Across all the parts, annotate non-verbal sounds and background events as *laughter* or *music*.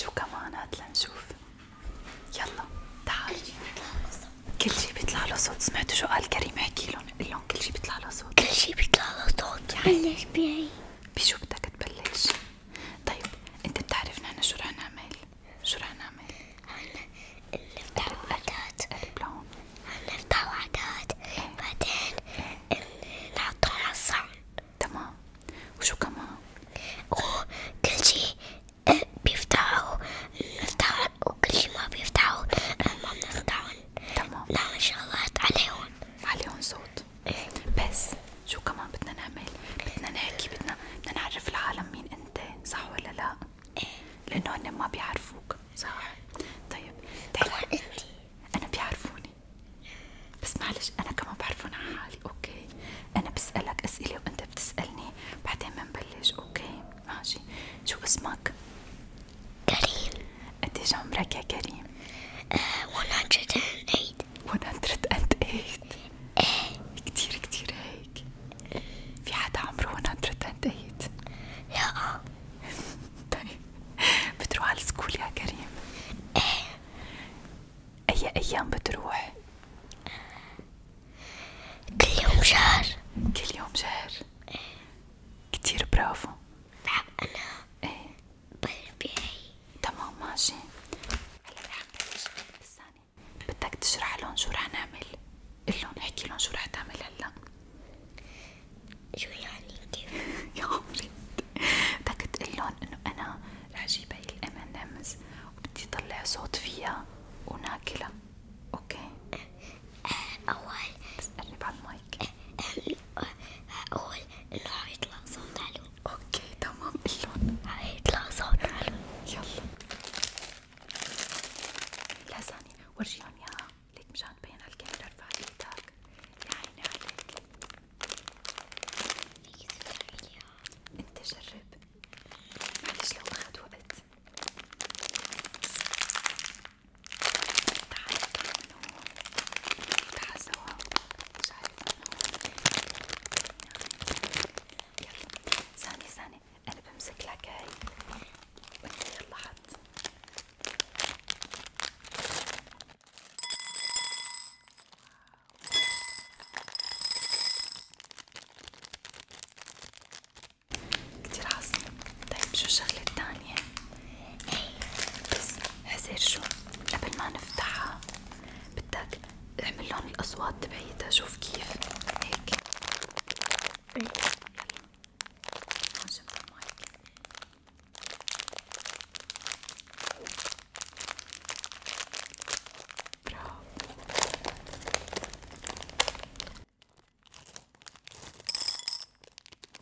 شو كمان هات لنشوف يلا تعال كل شي بيطلع له صوت سمعتوا شو قال كريم احكي لهم قل لهم كل شي بيطلع له صوت كل شي بيطلع له صوت بلش بيعي بشو بدك تبلش؟ طيب انت بتعرف نحن شو رح نعمل؟ شو رح نعمل؟ هلا نفتح وحدات قرب لهون هلا نفتح وحدات بعدين إيه. نحطها على الصحن تمام وشو كمان؟ آه، وكل شي بيفتحوا نفتحوا وكل شي ما بيفتحوا آه، ما بنفتحون تمام نعمل شغلات عليهم عليهم صوت بس شو كمان بدنا نعمل؟ بدنا نحكي بدنا بدنا نعرف العالم مين انت صح ولا لا؟ إيه. لانه هن ما بيعرفوك صح؟ طيب تعال انا بيعرفوني يعني بس معلش انا كمان بعرفهم عن حالي اوكي انا بسألك اسئلة وانت بتسألني بعدين بنبلش اوكي ماشي شو اسمك؟ كريم قديش عمرك يا كريم؟ 108 آه، 108 ايه كتير كتير هيك في حدا عمره 108 لا *laughs* طيب بتروح على السكول يا كريم؟ ايه أي أيام بتروح؟ كل يوم شهر كل يوم شهر؟ إيه كتير برافو بحب أنا إيه بربيعي تمام ماشي هلا رح نبلش بالثاني بدك تشرح لهم شو رح نعمل؟ قلهم احكي لهم شو رح تعمل هلا شو يعني كيف؟ *laughs* يا عمري بدك تقلن انه انا رح جيب هي الامنمز وبدي طلع صوت فيها وناكلها اوكي اول بس قرب على المايك اقول انه حيطلع صوت حلو اوكي تمام قلن حيطلع صوت حلو يلا لا ثانية ورجيهم اياها ليك مشان تبين على الكاميرا رفع ايدك يا عيني عليك فيك تختاري لي انت جرب معلش لو اخد وقت تعال طلع من هون نفتحها سوا مش عارفة يلا ثانية ثانية انا بمسك لك هاي وانت يلا حط كتير عظيم طيب شو الشغلة التانية؟ إيه، بس حزير شو؟ قبل ما نفتحها بدك اعمل لهم الأصوات تبعيتها شوف كيف هيك يلا إيه. نجمع المايك برافو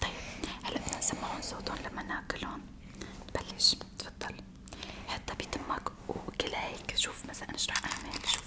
طيب هلا بدنا نسمعهم صوتهم لما ناكلهم بلش تفضل حطها بتمك وكلها هيك شوف مثلا انا شو رح اعمل شوف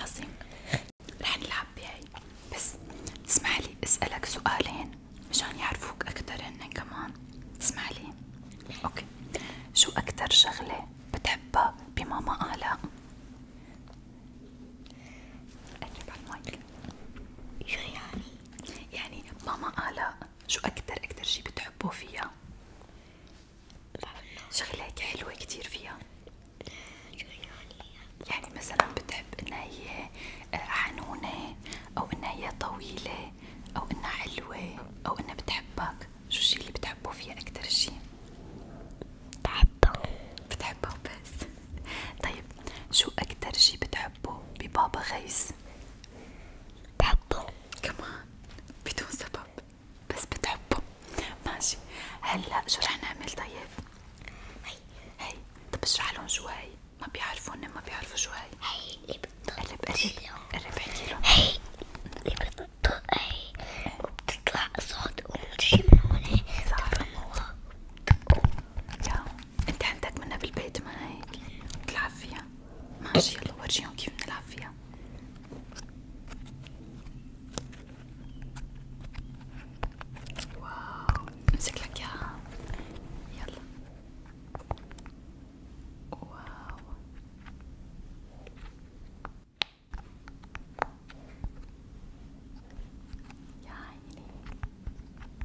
عظيم رح نلعب بهاي بس تسمعلي اسألك سؤالين مشان يعرفوك أكتر هن كمان تسمعلي اوكي شو أكتر شغلة بتحبها بماما آلاء؟ قرب على المايك شو يعني؟ يعني ماما آلاء شو أكتر أكتر شي بتحبوه فيها؟ شغلة هيك حلوة كتير فيها يعني مثلا بتحب انها هي آه، حنونة او انها هي طويلة او انها حلوة او انها بتحبك شو الشي اللي بتحبه فيها اكتر شي؟ بحبها بتحبها بس طيب شو اكتر شي بتحبه ببابا غيث؟ بحبه كمان بدون سبب بس بتحبه ماشي هلا شو رح نعمل طيب؟ هي هي طب اشرح لهم شو هي ما بيعرفوا إن ما بيعرفوا شو هي هي اللي بتطلع قرب قرب احكي لهم هي اللي بتطلع هي وبتطلع صوت وبتجي من هون صح يا انت عندك منها بالبيت ما هيك بتلعب فيها ماشي يلا ورجيهم كيف بنلعب فيها واو امسك لك اياها يلا واو يا عيني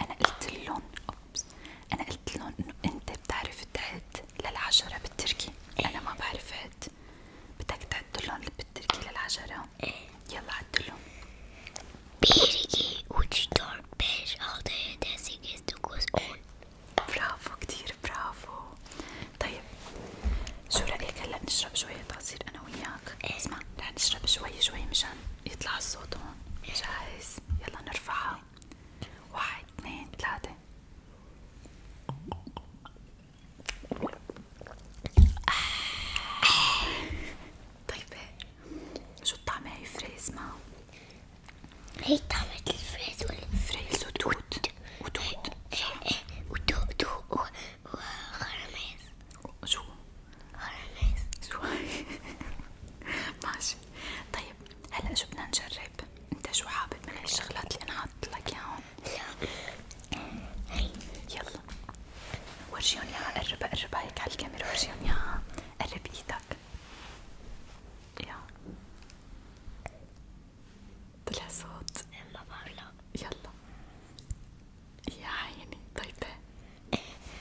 انا قلت لهم انا قلت لهم انه انت بتعرف تعد للعشرة بالتركي انا ما بعرف عد بدك تعد لهم بالتركي للعشرة إيه. يلا عد لهم bir, iki, üç, dört, beş, altı, yedi, sekiz, dokuz, on برافو كتير برافو طيب شو رأيك هلا نشرب شوية عصير أنا وياك؟ إيه. اسمع رح نشرب شوي شوي مشان يطلع الصوت هون جاهز يلا نرفعها واحد اثنين ثلاثة طيبة شو الطعمة هي فريز ما؟ هي طعمة الفريز ولا فريز وتوت وتوت وتوت وخرميز شو؟ أرانيس شوي *laughs* ماشي طيب هلا شو بدنا نجرب؟ انت شو حابب من الشغلات اللي انا حاطط لك اياهم؟ يلا ورجيهم اياها قربها قربها هيك على الكاميرا ورجيهم اياها قرب ايدك يا طلع صوت ما بعرف يلا يا عيني طيبة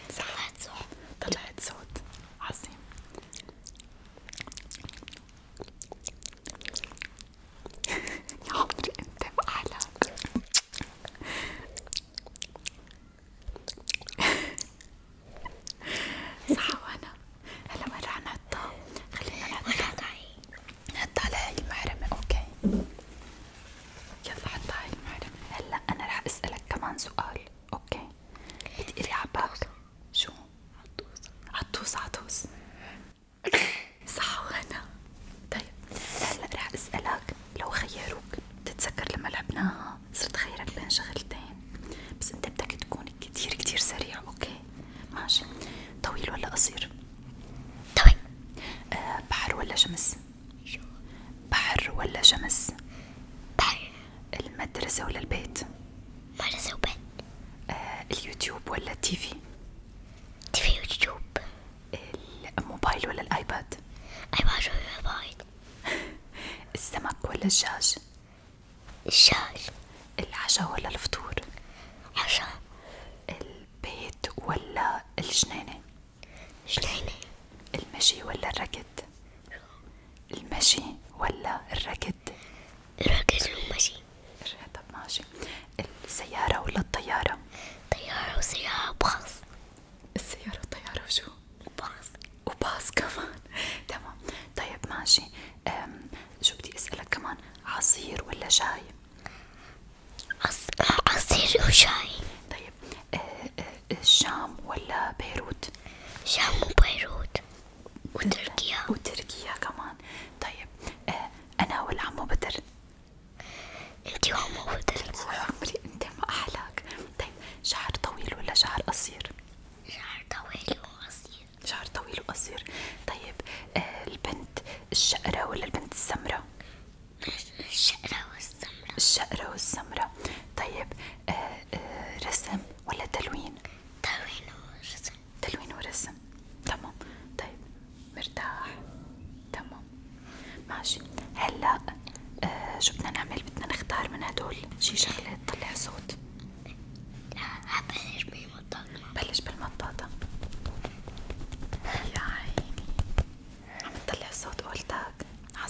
طلعت سود طلعت سود عظيم *laughs* يا عمري انت واحلاك *laughs* صح وانا هلا وين رح نحطها؟ خلينا نحطها نحطها لهي المحرمة اوكي يلا حطها هاي المحرمة هلا انا رح اسألك كمان سؤال اوكي بتقري عباك شو؟ عطوس عطوس عطوس صح وهنا طيب هلا رح اسألك لو خيروك بتتذكر لما لعبناها صرت خيرك بين شغلتين بس انت بدك تكون كتير كتير سريع اوكي ماشي طويل ولا قصير؟ طويل بحر ولا شمس؟ بحر ولا شمس بحر المدرسة ولا البيت مدرسة وبيت آه اليوتيوب ولا التيفي تيفي يوتيوب الموبايل ولا الايباد ايباد ولا الموبايل *laughs* السمك ولا الدجاج الدجاج العشاء ولا الفطور عشاء البيت ولا الجنينة شلون المشي ولا الركض المشي ولا الركض الركض والمشي طب ماشي السيارة ولا الطيارة طيارة وسيارة باص السيارة والطيارة وشو باص وباص كمان *laughs* تمام طيب ماشي شو بدي اسألك كمان عصير ولا شاي عصير وشاي طيب طيب الشام ولا بيروت؟ الشام وبيروت وتركيا أه، وتركيا كمان طيب أه، أنا ولا عمو بدر؟ انتي وعمو بدر طيب، عمري انت ما أحلاك طيب شعر طويل ولا شعر قصير؟ شعر طويل وقصير شعر طويل وقصير طيب أه، البنت الشقرة ولا البنت السمرة؟ الشقرة والسمرة الشقرة والسمرة طيب آه آه رسم ولا تلوين؟ تلوين ورسم تلوين ورسم تمام طيب مرتاح تمام ماشي هلا آه شو بدنا نعمل؟ بدنا نختار من هدول شي شغلة تطلع صوت لا حبلش بالمطاطة بلش بالمطاطة يا عيني عم تطلع صوت قولتك على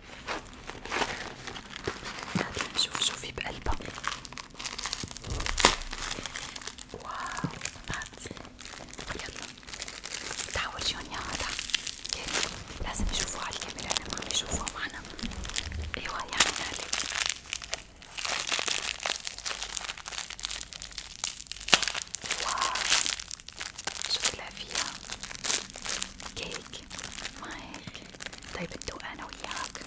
هاد نشوف شوفي بقلبها واو هاد يلا تعاوليون يا هادا لازم يشوفوها على الكاميرا انا ما عم يشوفوها معنا ايوا يعني هادي واو شو طلع فيها كيك هيك طيب ندوق انا وياك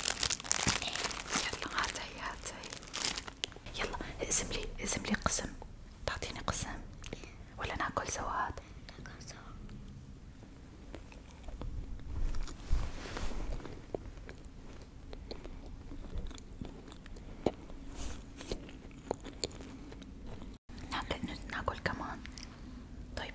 يلا هاتي هاتي يلا اقسم لي اقسم تعطيني قسم ولا ناكل سوا هاد ناكل سوا ناكل كمان طيب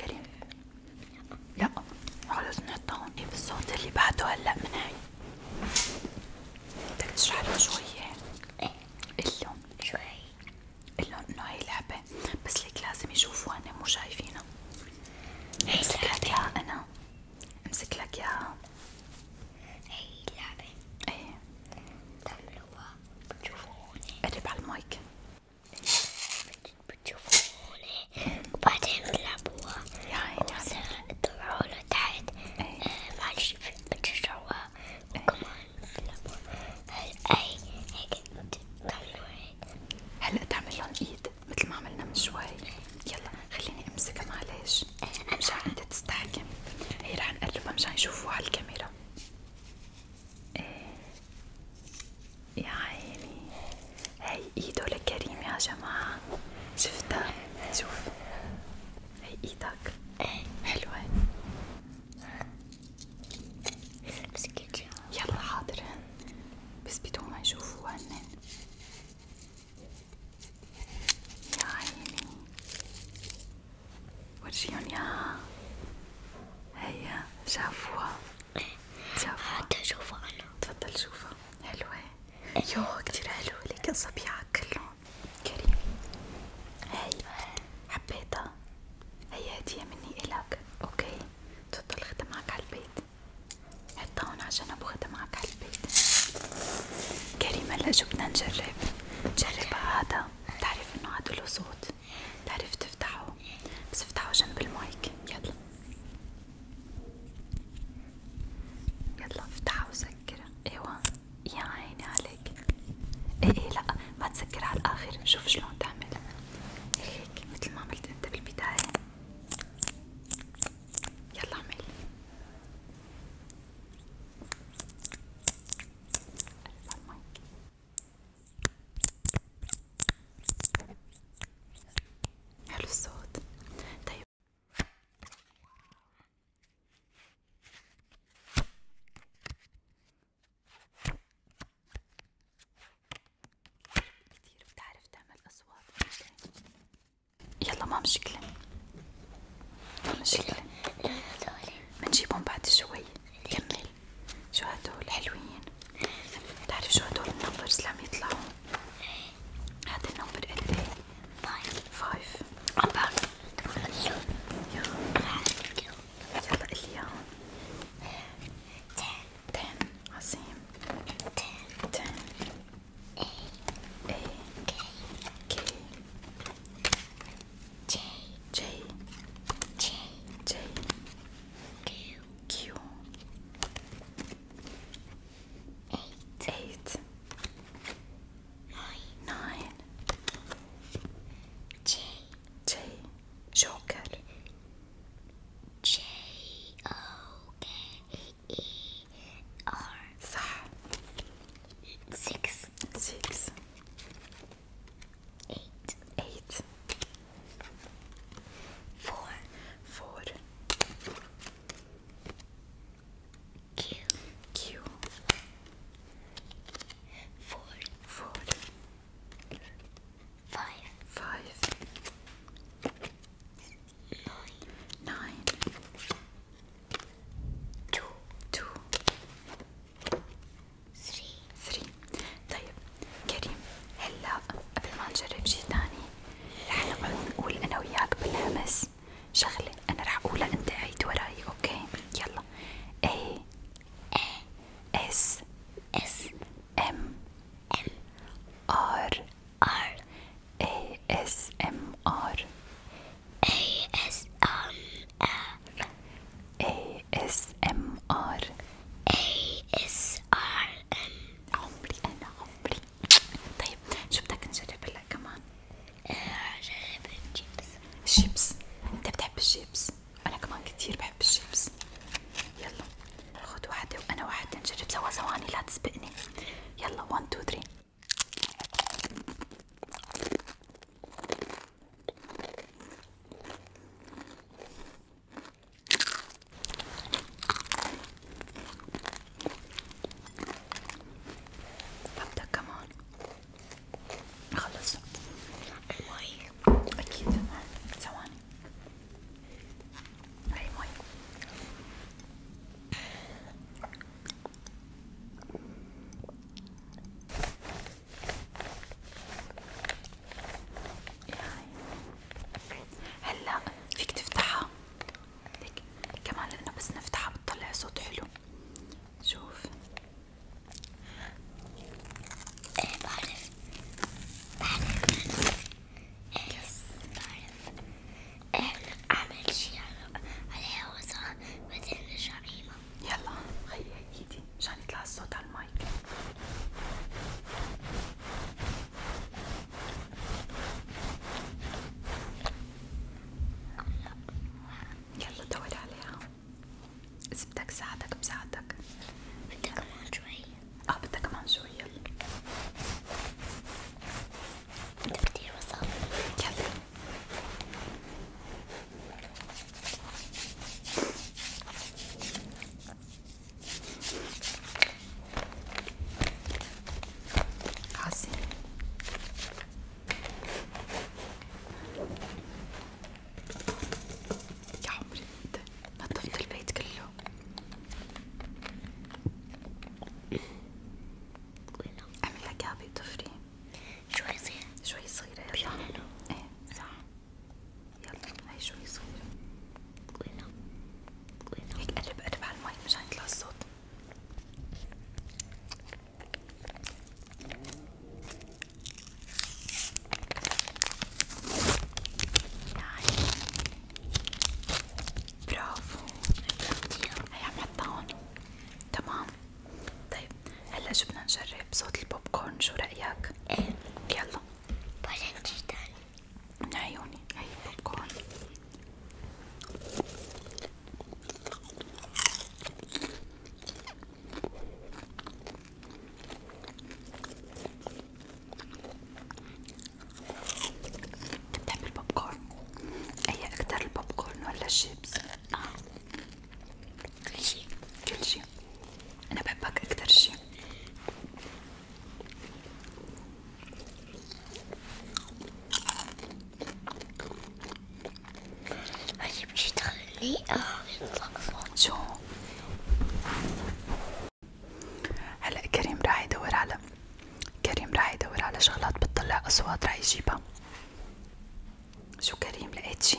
كريم لا خلص نحطها إيه هون بالصوت اللي بعده هلا من هاي بدك تشرح له شوية إيه. قلهم شوي قلهم انه هي لعبة بس ليك لازم يشوفوها هن مو شايفينها امسك لك اياها انا امسك لك اياها هي لعبة ايه بتعملوها بتشوفوها قرب على المايك بتشوفونه وبعدين تلعبوها تطلعوا له تحت إيه. آه، معلش بتشجعوها وكمان بتلعبوها اي هيك تعملوها هلا تعمل لهم ايد مثل ما عملنا من شوي يلا خليني امسكها معلش إيه، مشان انت تستحكم هي رح نقلبها مشان يشوفوها على الكاميرا إيه يا عيني هاي ايده لكريم يا جماعة شفتها شوف هي ايدك حلوة يلا حاضرهن بس بدون ما يشوفوا هنن يا عيني ورجيهم ياها هيا شافوها شافوها بدي آه، اشوفها انا تفضل شوفها حلوة آه. يوه كتير حلوة لكن صبيعك كلهم كريم هاي حبيتها هي هدية مني إلك اوكي تفضل خدها معك على حطها هون عشان ابو معك على كريم هلا شو بدنا نجرب؟ نجرب هذا بتعرف انه عاد له صوت بتعرف تفتحه بس افتحه جنب المايك يلا يلا افتحه وسكره ايوه يا عيني عليك ايه ايه لا ما تسكر على الاخر نشوف شلون تعمل هيك مثل ما عملت انت بالبداية يلا اعمل حلو الصوت طيب كتير بتعرف تعمل أصوات يلا ما مشكلة ما مشكلة منجيبهم بعد شوي يلا شو هدول حلوين بتعرف شو هدول النمبرز لما يطلعوا هذا النمبر قد ايه؟ فايف فايف عم بعرف يلا قلي اياهم تن تن عظيم تن تن اي اي إيه. كي كي J J J J Q Q eight eight nine nine J J Joker J O K E R Six Six Eight. Eight. Q, four, four, five, five, nine, nine, two, two. 11 11 12 12 13 13 14 14 15 15 ثري ثري طيب كريم هلا قبل ما نجرب شي تاني رح نقعد نقول انا وياك بالهمس شغلة انا رح اقولها انت عيد وراي اوكي يلا A S S M M R R A S M R A S M ASMR ASMR عمري أنا عمري طيب شو بدك نجرب هلا كمان؟ آه، جرب الشيبس الشيبس أنت بتحب الشيبس؟ أنا كمان كتير بحب الشيبس يلا خد واحدة وأنا واحدة نجرب سوا ثواني لا تسبقني يلا 1 2 3 ببدأ كمان خلص المي أكيد ثواني هاي مي يعني هلا فيك تفتحها هيك كمان لانه بس نفتحها بتطلع صوت حلو شوف ايه بعرف بعرف ايه بعرف إيه، اعمل شي على هوا صح بعدين نرجع يلا خيي ايدي مشان يطلع الصوت على المايك يلا دور عليها إذا بدك ساعدك بساعدك بدك كمان شوي اه بدك كمان شوي يلا انت كتير وصل يلا عظيم يا عمري انت نظفت البيت كله اعمل لك يا طفري شوي صغيرة شوي صغيرة يلا ايه صح يلا هاي شوي صغيرة هنا هيك قرب قرب على المي مشان يطلع الصوت نعم. برافو هي عم حطها هون تمام طيب هلا شو بدنا نجرب صوت البوب كورن شو رأيك؟ ايه يلا بعدين جدا من عيوني هي البوب كورن بتحب البوب كورن؟ ايه أكتر البوب كورن ولا الشيبس؟ اه كل شي كل شي أنا بحبك أكتر شي عجب طيب، شي تخلي شو آه، هلا كريم راح يدور على كريم راح يدور على شغلات بتطلع اصوات راح يجيبها شو كريم لقيت شي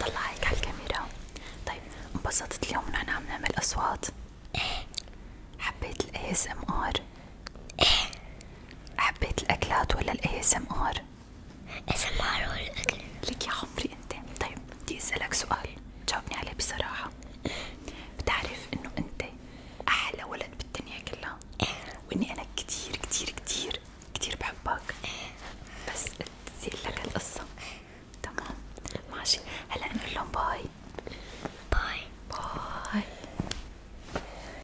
طلعك على الكاميرا طيب انبسطت اليوم نحن عم نعمل اصوات؟ ايه حبيت الاي اس ام ار؟ ايه حبيت الاكلات ولا الاي اس ام ار؟ اس ام ار ولا الاكل؟ لك يا عمري انت، طيب بدي اسالك سؤال جاوبني عليه بصراحة، بتعرف انه انت احلى ولد بالدنيا كلها واني انا كتير كتير كتير كتير بحبك بس بدي لك هالقصة تمام ماشي هلا نقول لهم باي باي باي